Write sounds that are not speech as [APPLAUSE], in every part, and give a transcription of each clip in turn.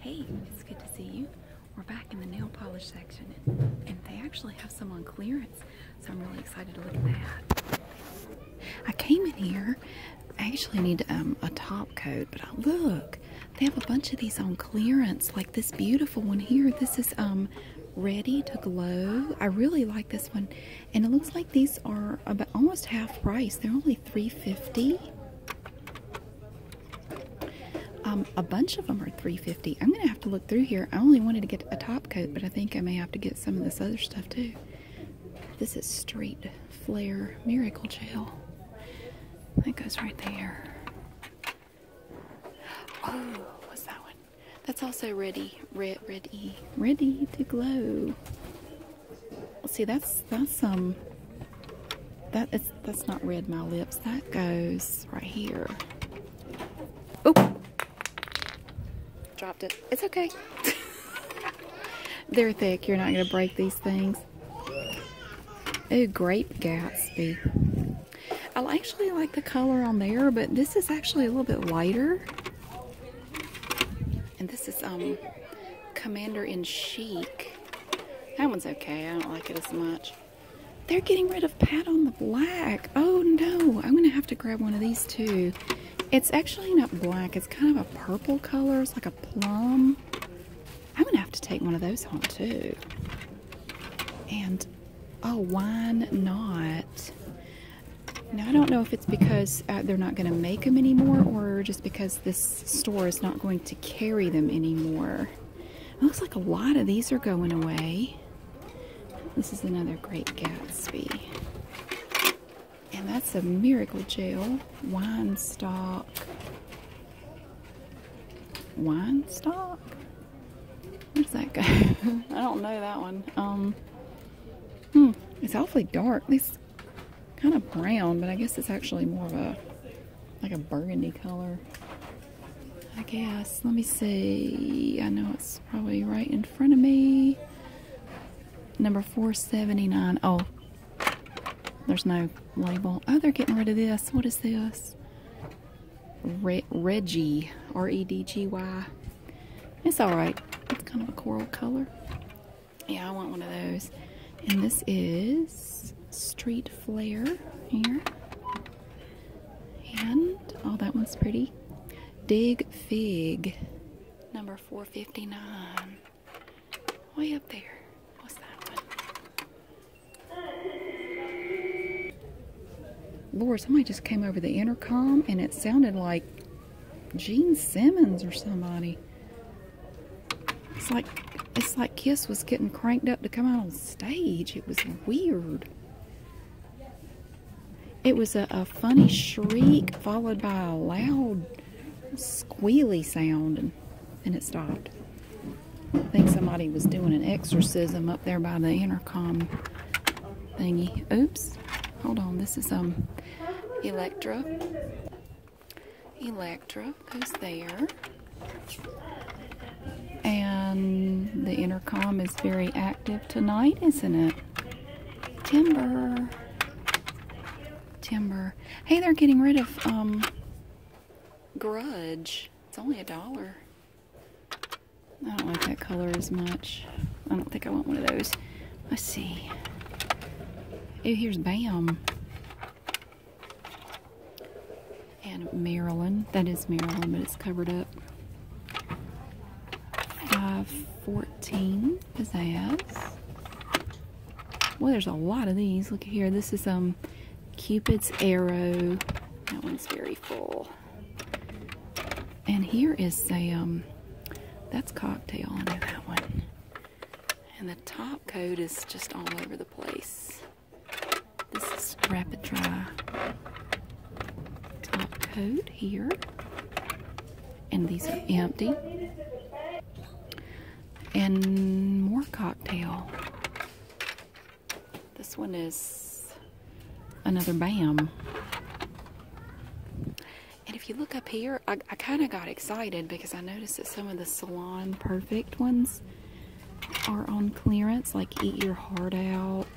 Hey, it's good to see you. We're back in the nail polish section, and they actually have some on clearance, so I'm really excited to look at that. I came in here. I actually need um, a top coat, but uh, look, they have a bunch of these on clearance, like this beautiful one here. This is um, Ready to Glow. I really like this one, and it looks like these are about almost half price. They're only 3.50. Um, a bunch of them are 350 I'm gonna have to look through here. I only wanted to get a top coat, but I think I may have to get some of this other stuff too. This is Street Flare Miracle Gel. That goes right there. Oh, what's that one? That's also ready. Red, red E. Ready to glow see that's that's um that is that's not red my lips that goes right here oh dropped it it's okay [LAUGHS] they're thick you're not gonna break these things oh grape gatsby i actually like the color on there but this is actually a little bit lighter and this is um commander in chic that one's okay. I don't like it as much. They're getting rid of Pat on the Black. Oh no, I'm gonna have to grab one of these too. It's actually not black, it's kind of a purple color. It's like a plum. I'm gonna have to take one of those home too. And, oh, why not? Now, I don't know if it's because uh, they're not going to make them anymore or just because this store is not going to carry them anymore. It looks like a lot of these are going away. This is another Great Gatsby. And that's a Miracle Gel wine Stop. Wine Stop. Where's that guy? [LAUGHS] I don't know that one. Um, hmm, it's awfully dark. At kind of brown, but I guess it's actually more of a like a burgundy color. I guess. Let me see. I know it's probably right in front of me. Number 479. Oh, there's no label. Oh, they're getting rid of this. What is this? Re Reggie. R E D G Y. It's alright. It's kind of a coral color. Yeah, I want one of those. And this is Street Flare here. And, oh, that one's pretty. Dig Fig, number 459. Way up there. What's that one? Lord, somebody just came over the intercom and it sounded like Gene Simmons or somebody. It's like it's like Kiss was getting cranked up to come out on stage. It was weird. It was a, funny shriek followed by a loud squealy sound and, and it stopped. I think somebody was doing an exorcism up there by the intercom thingy. Oops. Hold on. This is um Electra. Electra goes there. And the intercom is very active tonight, isn't it? Timber. Timber. Hey, they're getting rid of um, Grudge. It's only a dollar. I don't like that color as much. I don't think I want one of those. Let's see. Oh, here's Bam and Maryland. That is Maryland, but it's covered up. 514 pizzazz. Well, there's a lot of these. Look here. This is um Cupid's arrow. That one's very full. And here is a um that's cocktail. I know that one. And the top coat is just all over the place. This is Rapid Dry top coat here. And these are empty. And more cocktail. This one is another BAM. And if you look up here, I, I kind of got excited because I noticed that some of the Salon Perfect ones are on clearance, like Eat Your Heart Out.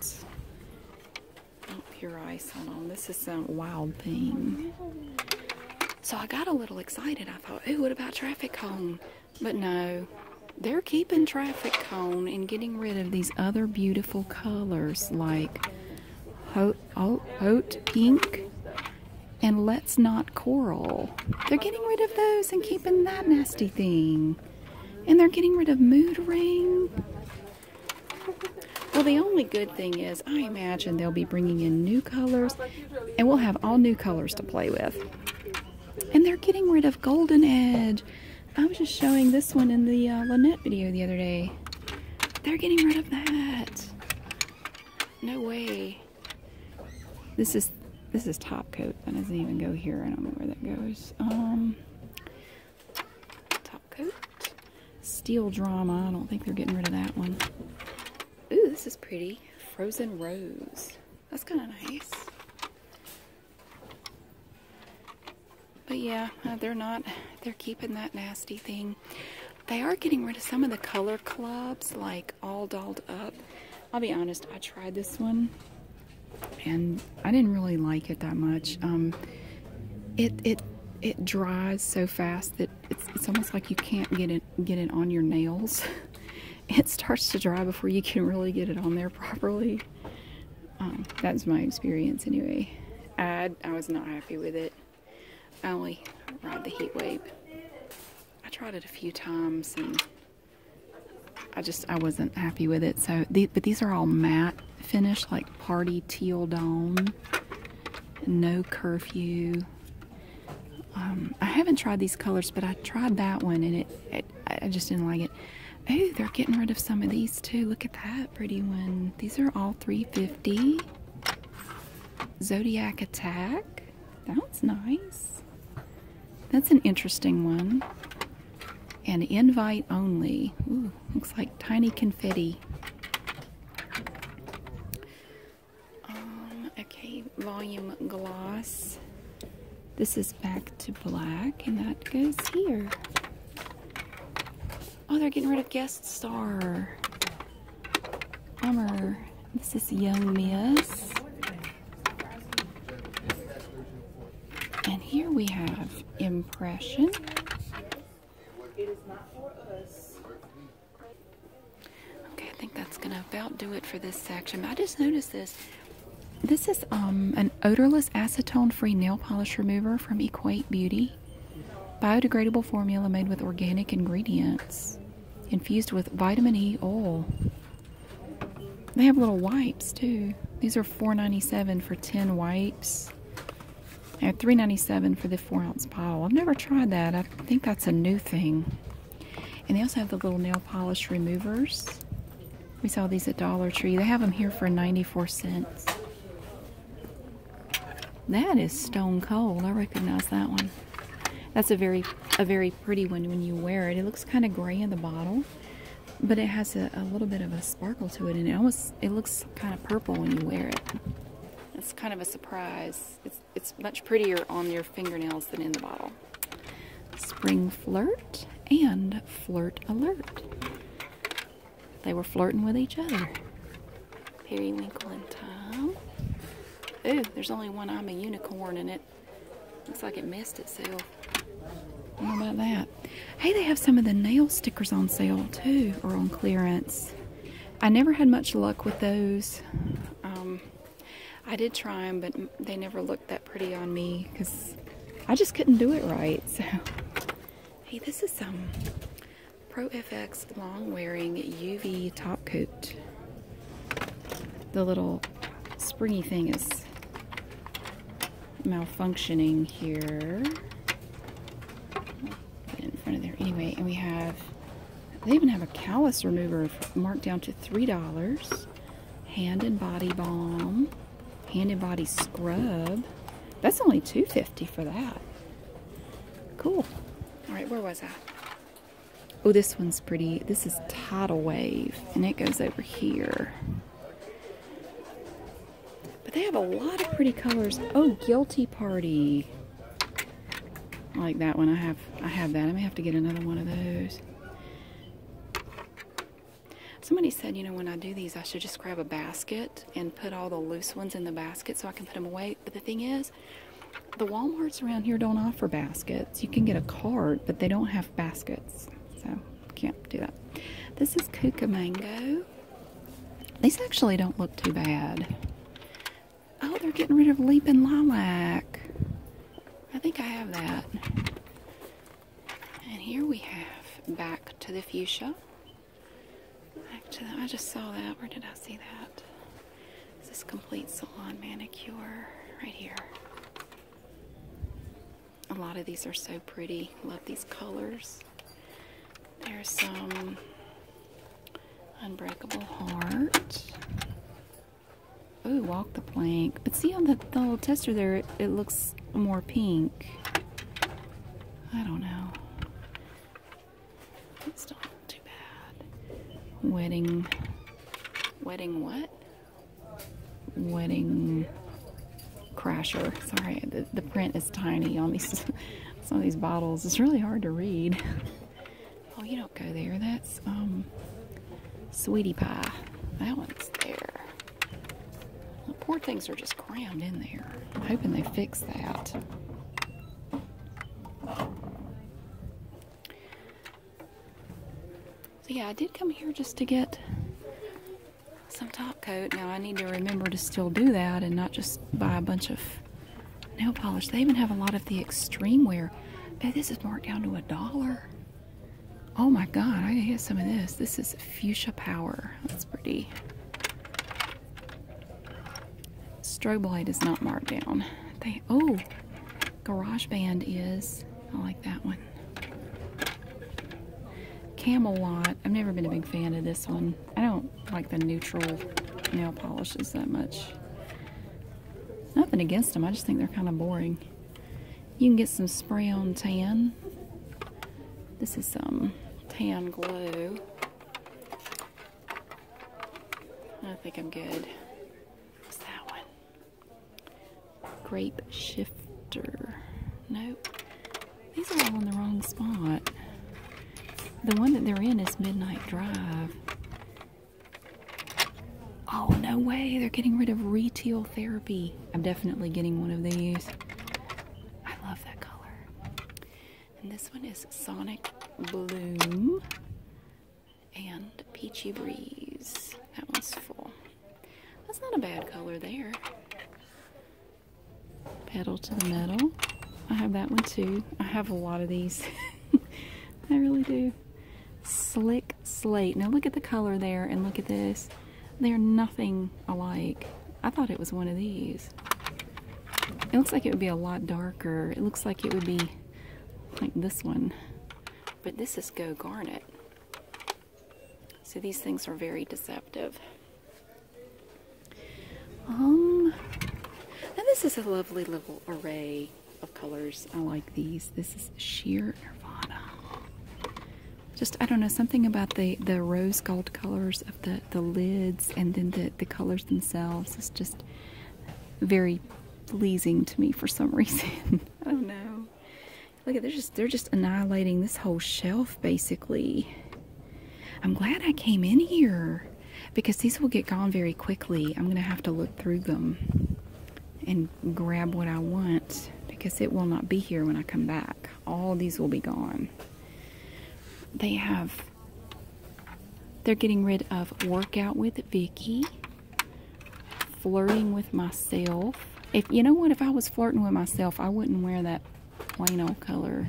pure ice, hold on. This is some wild thing. So I got a little excited. I thought, oh, what about traffic cone? But no, they're keeping traffic cone and getting rid of these other beautiful colors like hot, oh, hot pink and let's not coral. They're getting rid of those and keeping that nasty thing. And they're getting rid of mood ring. Well, the only good thing is I imagine they'll be bringing in new colors and we'll have all new colors to play with. And they're getting rid of golden edge. I was just showing this one in the uh, Lynette video the other day. They're getting rid of that. No way. This is this is top coat. That doesn't even go here. I don't know where that goes. Um, top coat. Steel drama. I don't think they're getting rid of that one. Ooh, this is pretty. Frozen rose. That's kind of nice. But yeah, uh, they're not. They're keeping that nasty thing. They are getting rid of some of the color clubs, like all dolled up. I'll be honest, I tried this one and I didn't really like it that much. Um, it, it, it dries so fast that it's, almost like you can't get it, get it on your nails. [LAUGHS] it starts to dry before you can really get it on there properly. Um, that's my experience anyway. I, I was not happy with it. I only ride the heat wave. I tried it a few times and I just I wasn't happy with it. So, the, but these are all matte finish, like party teal dawn. No curfew. Um, I haven't tried these colors, but I tried that one and it, I just didn't like it. Oh, they're getting rid of some of these too. Look at that pretty one. These are all 350. Zodiac Attack. That's nice. That's an interesting one. And invite only. Ooh, looks like tiny confetti. Um, okay, volume gloss. This is back to black, and that goes here. Oh, they're getting rid of guest star. Bummer. This is Young Miss. And here we have impression. Okay, I think that's gonna about do it for this section. I just noticed this. This is um, an odorless acetone-free nail polish remover from Equate Beauty. Biodegradable formula made with organic ingredients, infused with vitamin E oil. They have little wipes too. These are four ninety seven for 10 wipes. And three ninety seven for the 4 ounce bottle. I've never tried that. I think that's a new thing. And they also have the little nail polish removers. We saw these at Dollar Tree. They have them here for 94 cents. That is stone cold. I recognize that one. That's a very a very pretty when, when you wear it. It looks kind of gray in the bottle, but it has a, little bit of a sparkle to it, and it almost it looks kind of purple when you wear it. It's kind of a surprise. It's, it's much prettier on your fingernails than in the bottle. Spring Flirt and Flirt Alert. They were flirting with each other. Periwinkle and Tom. Ooh, there's only one I'm a unicorn in it Looks like it messed itself. How about that? Hey, they have some of the nail stickers on sale too, or on clearance. I never had much luck with those. Um, I did try them, but they never looked that pretty on me because I just couldn't do it right. So, hey, this is some Pro FX long wearing UV top coat the little springy thing is malfunctioning here. in front of there anyway, and we have, they even have a callus remover marked down to $3. Hand and body balm, hand and body scrub. That's only two fifty for that. Cool. All right, where was I? Oh, this one's pretty. This is Tidal Wave, and it goes over here. But they have a lot of pretty colors. Oh, Guilty Party. I like that one. I have I have that. I may have to get another one of those. Somebody said, you know, when I do these, I should just grab a basket and put all the loose ones in the basket so I can put them away. But the thing is, the Walmarts around here don't offer baskets. You can get a cart, but they don't have baskets, so can't do that. This is Kuka Mango. These actually don't look too bad. Oh, they're getting rid of Leaping Lilac. I think I have that. And here we have Back to the Fuchsia. Back to the, I just saw that. Where did I see that? This is Complete Salon Manicure right here. A lot of these are so pretty. Love these colors. There's some Unbreakable Heart. Ooh, Walk the Plank. But see on the, little tester there, it, it looks more pink. I don't know. It's not too bad. Wedding. Wedding what? wedding crasher. Sorry, the, print is tiny on these [LAUGHS] some of these bottles. It's really hard to read. [LAUGHS] oh, you don't go there. That's um, sweetie pie. That one's there. The poor things are just crammed in there. hoping they fix that. So yeah, I did come here just to get some top coat. Now I need to remember to still do that and not just buy a bunch of nail polish. They even have a lot of the extreme wear. Man, this is marked down to a dollar. Oh my god, I got some of this. This is fuchsia power. That's pretty. Strobe light is not marked down. They oh Garage Band is. I like that one. Camelot. I've never been a big fan of this one. I don't like the neutral nail polishes that much. Nothing against them. I just think they're kind of boring. You can get some spray on tan. This is some tan glue. I think I'm good. What's that one? Grape shifter. Nope. These are all in the wrong spot. The one that they're in is Midnight Drive. Oh, no way. They're getting rid of retail therapy. I'm definitely getting one of these. I love that color. And this one is Sonic Bloom and Peachy Breeze. That one's full. That's not a bad color there. Pedal to the metal. I have that one too. I have a lot of these. [LAUGHS] I really do. Slick Slate. Now look at the color there and look at this. They're nothing alike. I thought it was one of these. It looks like it would be a lot darker. It looks like it would be like this one. But this is Go Garnet. So these things are very deceptive. Um, and this is a lovely little array of colors. I like these. This is sheer Nirvana. Just I don't know something about the the rose gold colors of the the lids and then the the colors themselves is just very pleasing to me for some [LAUGHS] reason. I don't know. Look at they're just they're just annihilating this whole shelf basically. I'm glad I came in here because these will get gone very quickly. I'm gonna have to look through them and grab what I want because it will not be here when I come back. All these will be gone. They have they're getting rid of workout with Vicky flirting with myself. If you know what, if I was flirting with myself, I wouldn't wear that plain old color.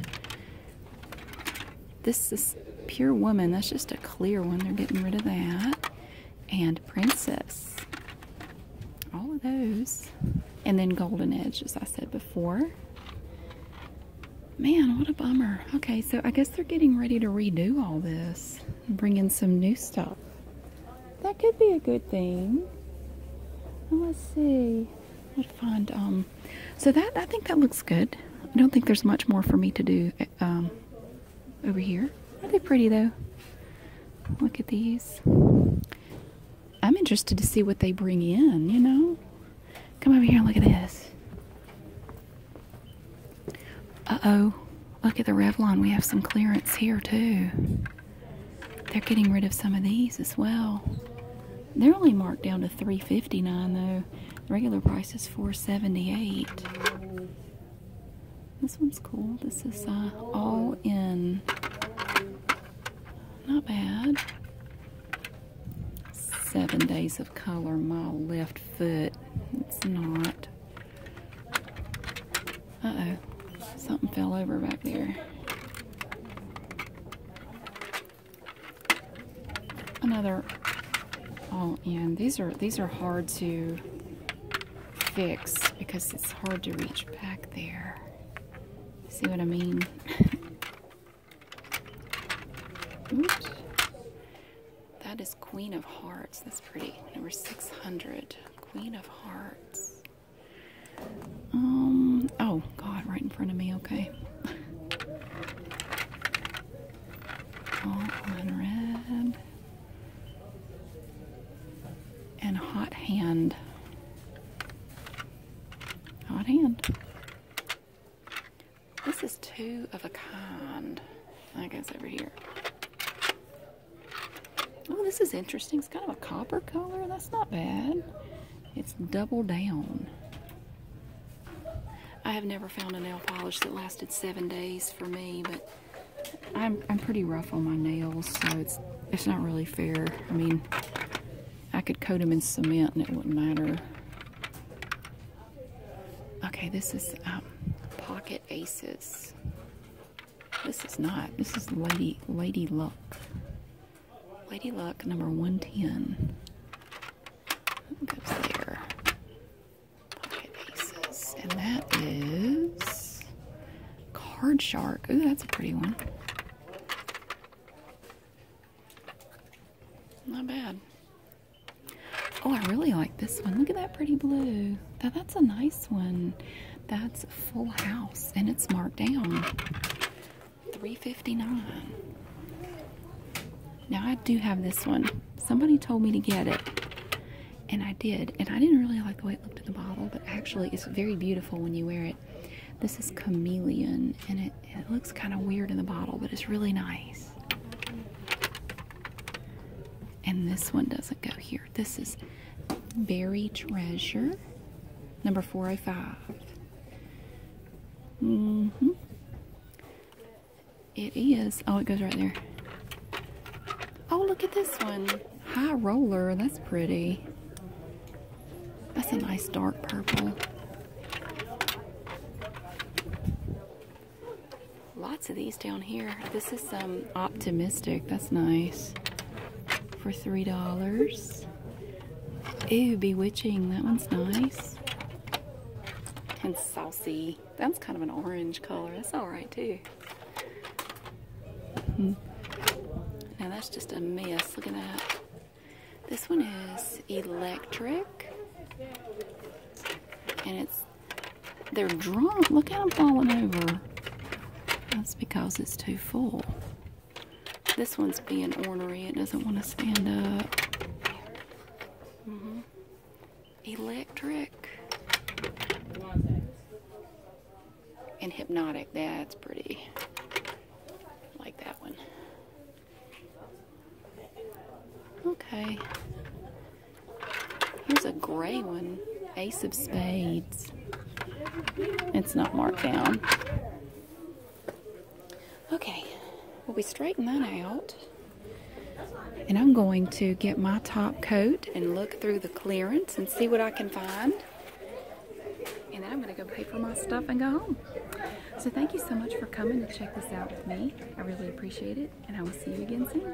This is pure woman. That's just a clear one. They're getting rid of that. And princess. All of those. And then golden edge, as I said before. Man, what a bummer. Okay, so I guess they're getting ready to redo all this bring in some new stuff. That could be a good thing. Oh, let's see. I'd find um. So that I think that looks good. I don't think there's much more for me to do uh, um, over here. Are they pretty though? Look at these. I'm interested to see what they bring in. You know. Come over here and look at this. Uh-oh. Look at the Revlon. We have some clearance here too. They're getting rid of some of these as well. They're only marked down to three fifty-nine though. regular price is four seventy-eight. This one's cool. This is uh, all in. Not bad. Seven days of color. My left foot. It's not. Uh-oh. Something fell over back there. Another Oh man, These are these are hard to fix because it's hard to reach back there. See what I mean? [LAUGHS] Oops. That is Queen of Hearts. That's pretty. Number 600. Queen of Hearts. Um, oh God, right in front of me, okay. All unread. And hot hand. Hot hand. This is two of a kind. I guess over here. Oh, this is interesting. It's kind of a copper color. That's not bad. It's double down. I have never found a nail polish that lasted seven days for me, but I'm, I'm pretty rough on my nails, so it's, it's not really fair. I mean, I could coat them in cement and it wouldn't matter. Okay, this is um, Pocket Aces. This is not. This is Lady Lady Luck. Lady Luck number 110. That goes there. Pocket aces. And that is Card Shark. Ooh, that's a pretty one. Not bad. Oh, I really like this one. Look at that pretty blue. that's a nice one. That's a Full House, and it's marked down. three fifty nine. Now I do have this one. Somebody told me to get it. And I did. And I didn't really like the way it looked in the bottle, but actually it's very beautiful when you wear it. This is chameleon and it looks kind of weird in the bottle, but it's really nice. And this one doesn't go here this is buried treasure, number 405. hmm It is. Oh, it goes right there. Oh, look at this one. High roller. That's pretty. That's a nice dark purple. Lots of these down here. This is some um, optimistic. That's nice. For $3. Ooh, bewitching. That one's nice. And saucy. That's kind of an orange color. That's alright too. Hmm. Now that's just a mess. Look at that. This one is electric. And it's they're drunk. Look at them falling over. That's because it's too full. This one's being ornery. It doesn't want to stand up. Mm-hmm. Electric. And hypnotic. That's pretty. like that one. Okay. Here's a gray one. Ace of Spades. It's not marked down. Okay, well we straighten that out. And I'm going to get my top coat and look through the clearance and see what I can find. And then I'm going to go pay for my stuff and go home. So thank you so much for coming to check this out with me. I really appreciate it, and I will see you again soon.